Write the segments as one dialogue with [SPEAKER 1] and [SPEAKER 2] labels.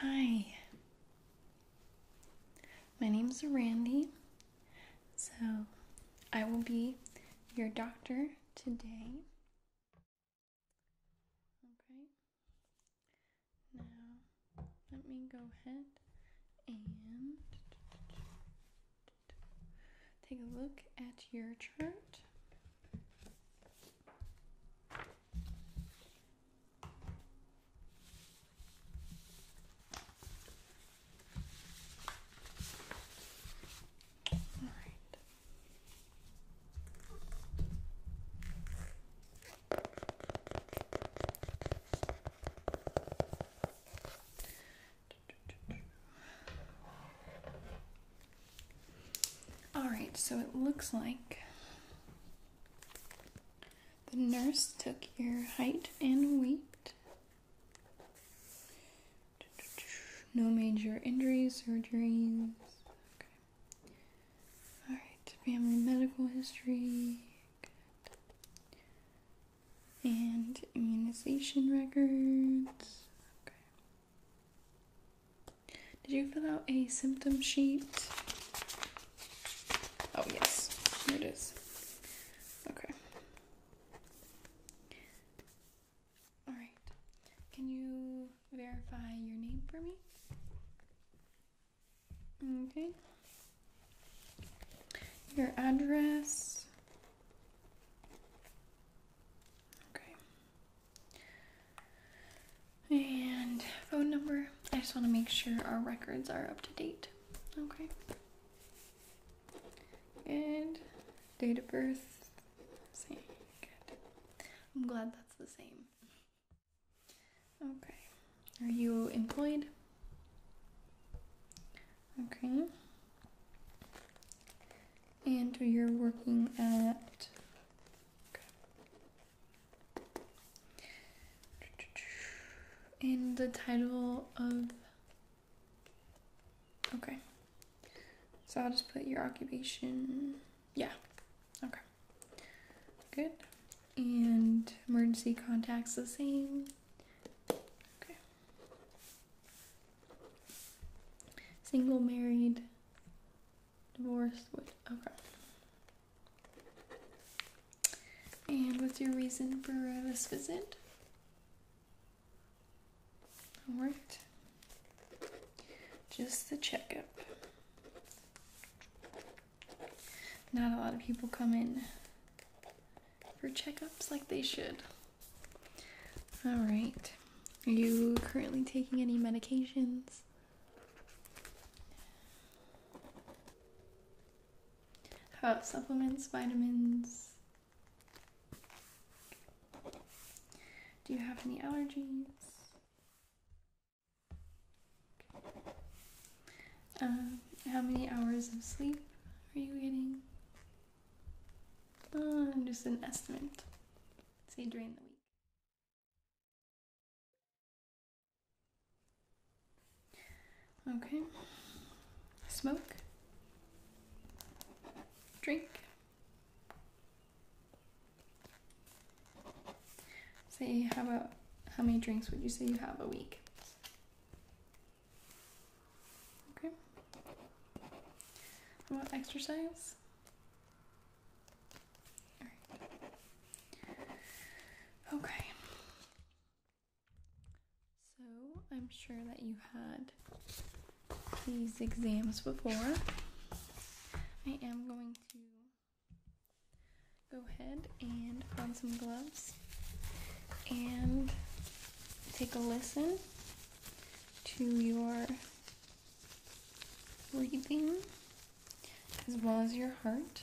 [SPEAKER 1] Hi, my name is Randy. So, I will be your doctor today. Okay. Now, let me go ahead and take a look at your chart. All right. All right, so it looks like the nurse took your height and weight. No major injuries, surgeries. Okay. All right, family medical history. And immunization records. Okay. Did you fill out a symptom sheet? Oh, yes, there it is. Okay. All right. Can you verify your name for me? Okay. Your address. Okay. And phone number. I just want to make sure our records are up to date. Okay. And date of birth. Same. Good. I'm glad that's the same. Okay. Are you employed? Okay. And you're working at. And the title of. Okay. So I'll just put your occupation. Yeah. Okay. Good. And emergency contacts the same. Okay. Single, married, divorced, with okay. And what's your reason for uh, this visit? Alright. Just the checkup. Not a lot of people come in for checkups like they should. All right. Are you currently taking any medications? How about supplements, vitamins? Do you have any allergies? Um, how many hours of sleep are you getting? Uh, just an estimate. Say during the week. Okay. Smoke. Drink. Say, how about how many drinks would you say you have a week? Okay. How about exercise? Okay. So I'm sure that you had these exams before. I am going to go ahead and put on some gloves and take a listen to your breathing as well as your heart.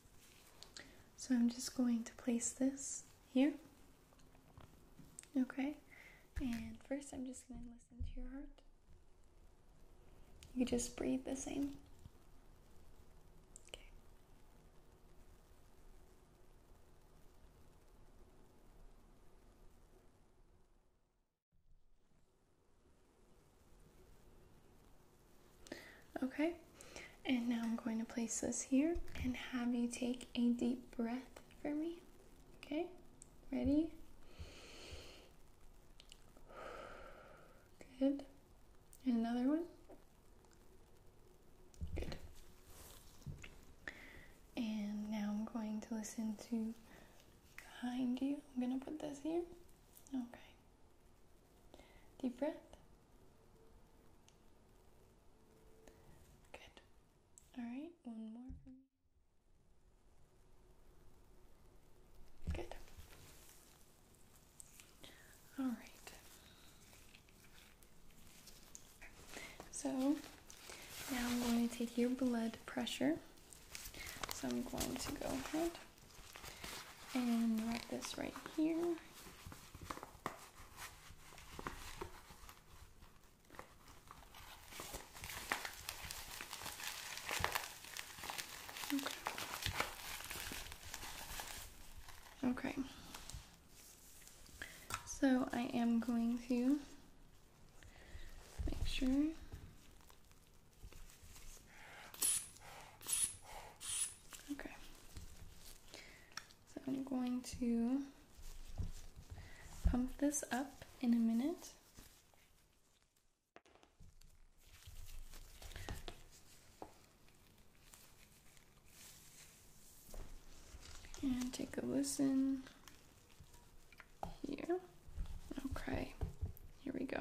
[SPEAKER 1] So I'm just going to place this here. Okay, and first I'm just going to listen to your heart. You just breathe the same. Okay. Okay, and now I'm going to place this here and have you take a deep breath for me. Okay, ready? Good. And another one. Good. And now I'm going to listen to behind you. I'm going to put this here. Okay. Deep breath. Good. All right, one more. Good. All right. So now I'm going to take your blood pressure. So I'm going to go ahead. And wrap this right here. Okay. okay. So I am going to make sure Okay. So I'm going to pump this up in a minute. And take a listen here. Okay, here we go.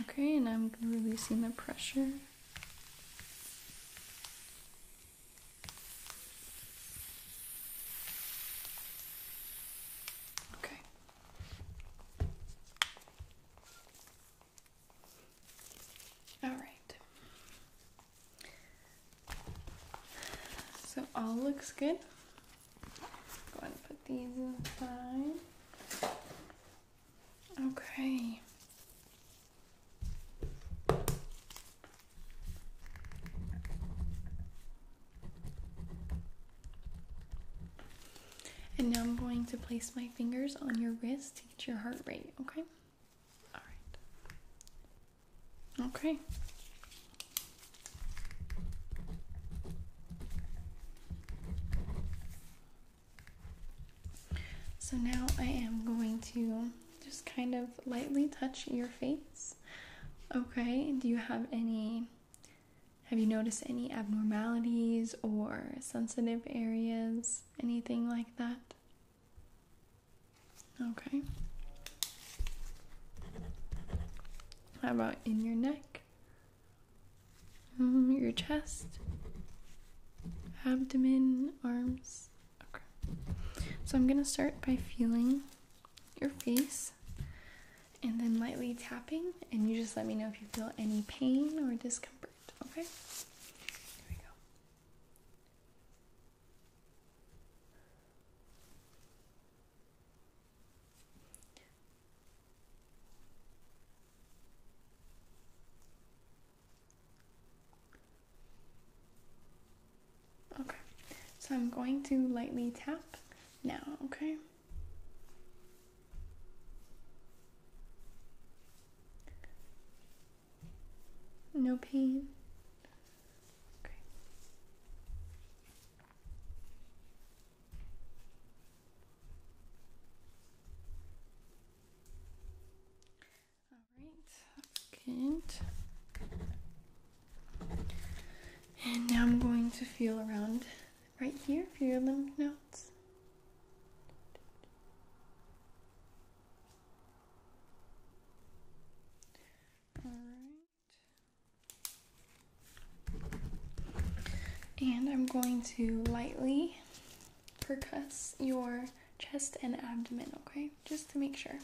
[SPEAKER 1] Okay, and I'm releasing the pressure. Okay. All right. So all looks good. Go ahead and put these aside. Okay. And now I'm going to place my fingers on your wrist to get your heart rate, okay? Alright. Okay. So now I am going to just kind of lightly touch your face. Okay, do you have any have you noticed any abnormalities or sensitive areas, anything like that? Okay. How about in your neck? Mm-hmm, your chest, abdomen, arms. Okay. So I'm going to start by feeling your face and then lightly tapping, and you just let me know if you feel any pain or discomfort. Okay? Here we go. Okay, so I'm going to lightly tap now, okay? No pain, Okay. All right, good. And now I'm going to feel around right here for your lymph nodes. All right. And I'm going to lightly percuss your chest and abdomen, okay? Just to make sure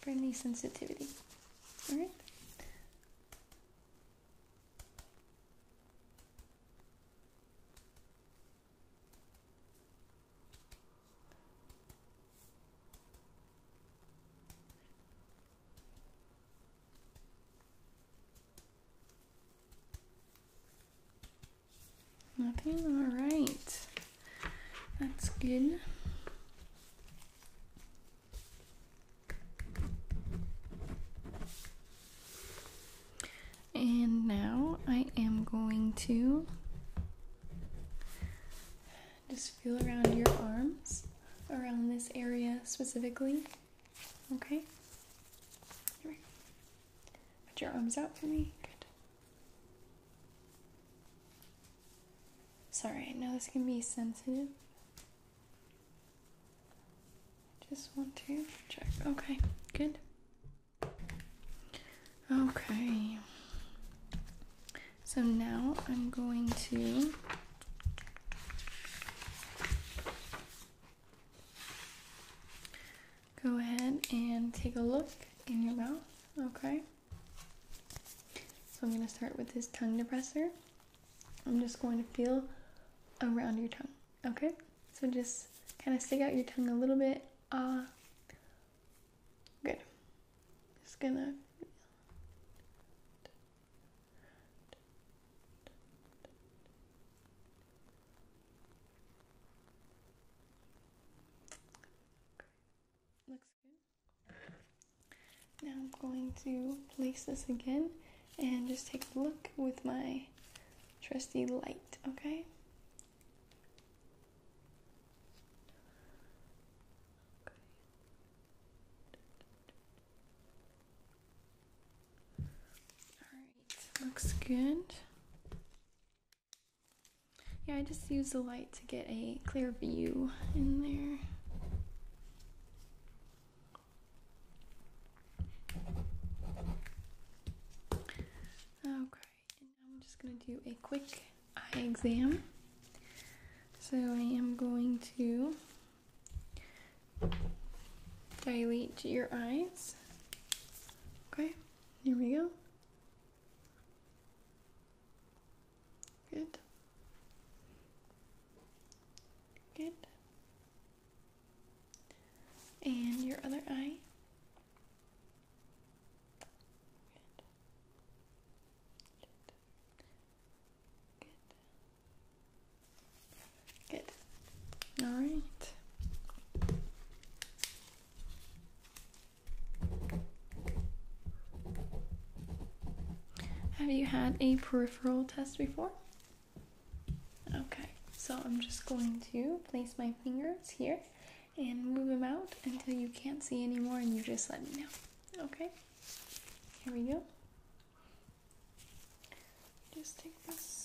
[SPEAKER 1] for any sensitivity. Alright? Nothing? Alright. That's good. And now I am going to just feel around your arms, around this area specifically. Okay? Put your arms out for me. Good. Sorry, I know this can be sensitive. Just want to check. Okay, good. Okay. So now I'm going to go ahead and take a look in your mouth, okay? So I'm going to start with this tongue depressor. I'm just going to feel around your tongue, okay? So just kind of stick out your tongue a little bit. Ah. Good. Just gonna. Looks good. Now I'm going to place this again and just take a look with my trusty light, okay? Alright, looks good. Yeah, I just used the light to get a clear view in there. Okay. I'm just going to do a quick eye exam. So I am going to dilate your eyes. Okay, here we go. Good. Good. And your other eye. Good. Good. Good. Good. All right. Have you had a peripheral test before? Okay, so I'm just going to place my fingers here and move them out until you can't see anymore and you just let me know. Okay? Here we go. Just take this.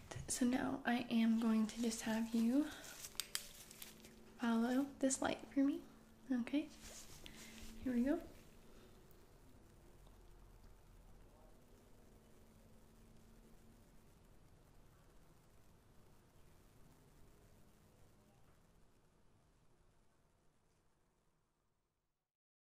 [SPEAKER 1] so now I am going to just have you follow this light for me. Okay, here we go.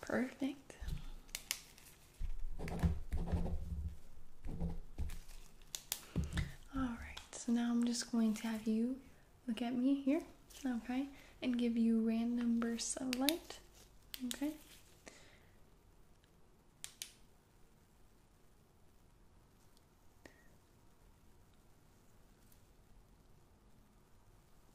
[SPEAKER 1] Perfect. All right, so now I'm just going to have you look at me here, okay, and give you random bursts of light, okay.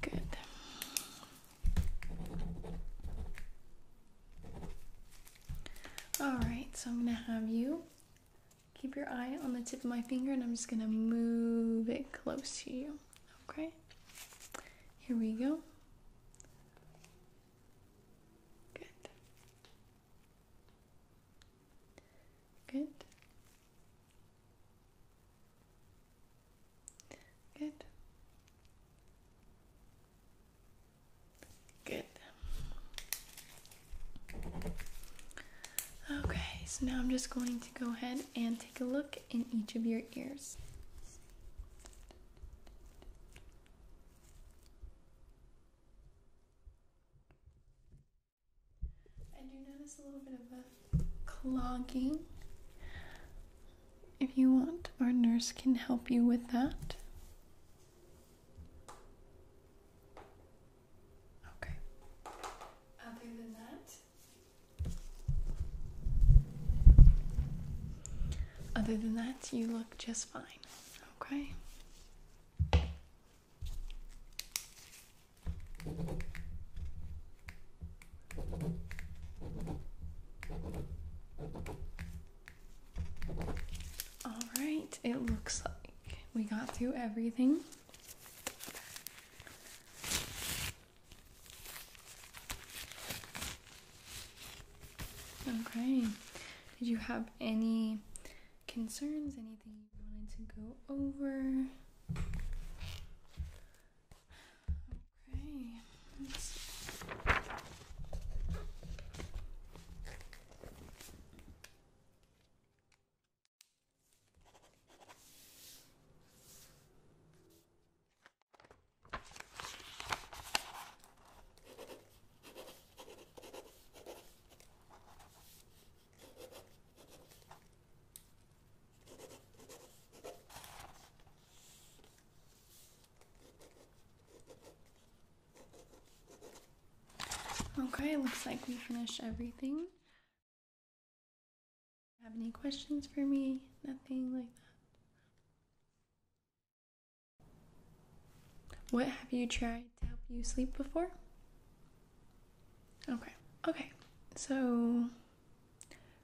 [SPEAKER 1] Good. All right, so I'm going to have you keep your eye on the tip of my finger and I'm just going to move it close to you. Okay, here we go. Good. Good. Good. Good. Okay, so now I'm just going to go ahead and take a look in each of your ears. I you notice a little bit of a clogging. If you want, our nurse can help you with that. Okay. Other than that, other than that, you look just fine, okay? All right, it looks like we got through everything. Okay. Did you have any concerns? Anything you wanted to go over? Okay. Okay, looks like we finished everything. Have any questions for me? Nothing like that. What have you tried to help you sleep before? Okay, okay. So,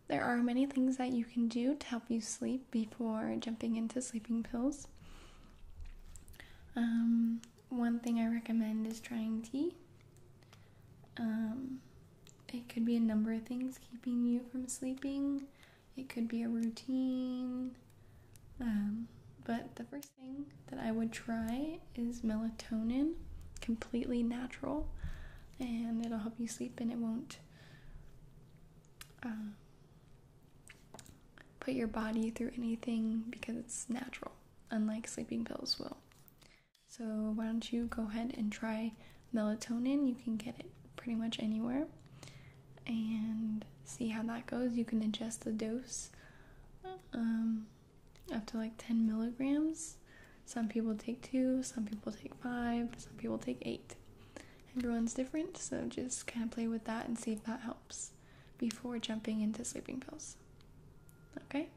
[SPEAKER 1] there are many things that you can do to help you sleep before jumping into sleeping pills. Um, one thing I recommend is trying tea. Um, it could be a number of things keeping you from sleeping. It could be a routine. Um, but the first thing that I would try is melatonin, completely natural, and it'll help you sleep and it won't um, put your body through anything because it's natural, unlike sleeping pills will. So, why don't you go ahead and try melatonin? You can get it pretty much anywhere and see how that goes. You can adjust the dose um, up to like 10 milligrams. Some people take two, some people take five, some people take eight. Everyone's different, so just kind of play with that and see if that helps before jumping into sleeping pills. Okay?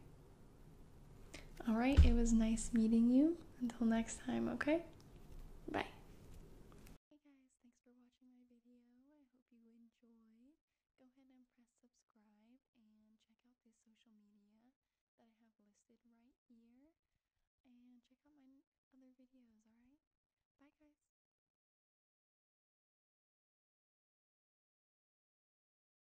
[SPEAKER 1] All right, it was nice meeting you. Until next time, okay? Bye. Hey guys, thanks for watching my video. I hope you enjoyed. Go ahead and press subscribe and check out the social media that I have listed right here. And check out my other videos, alright? Bye guys.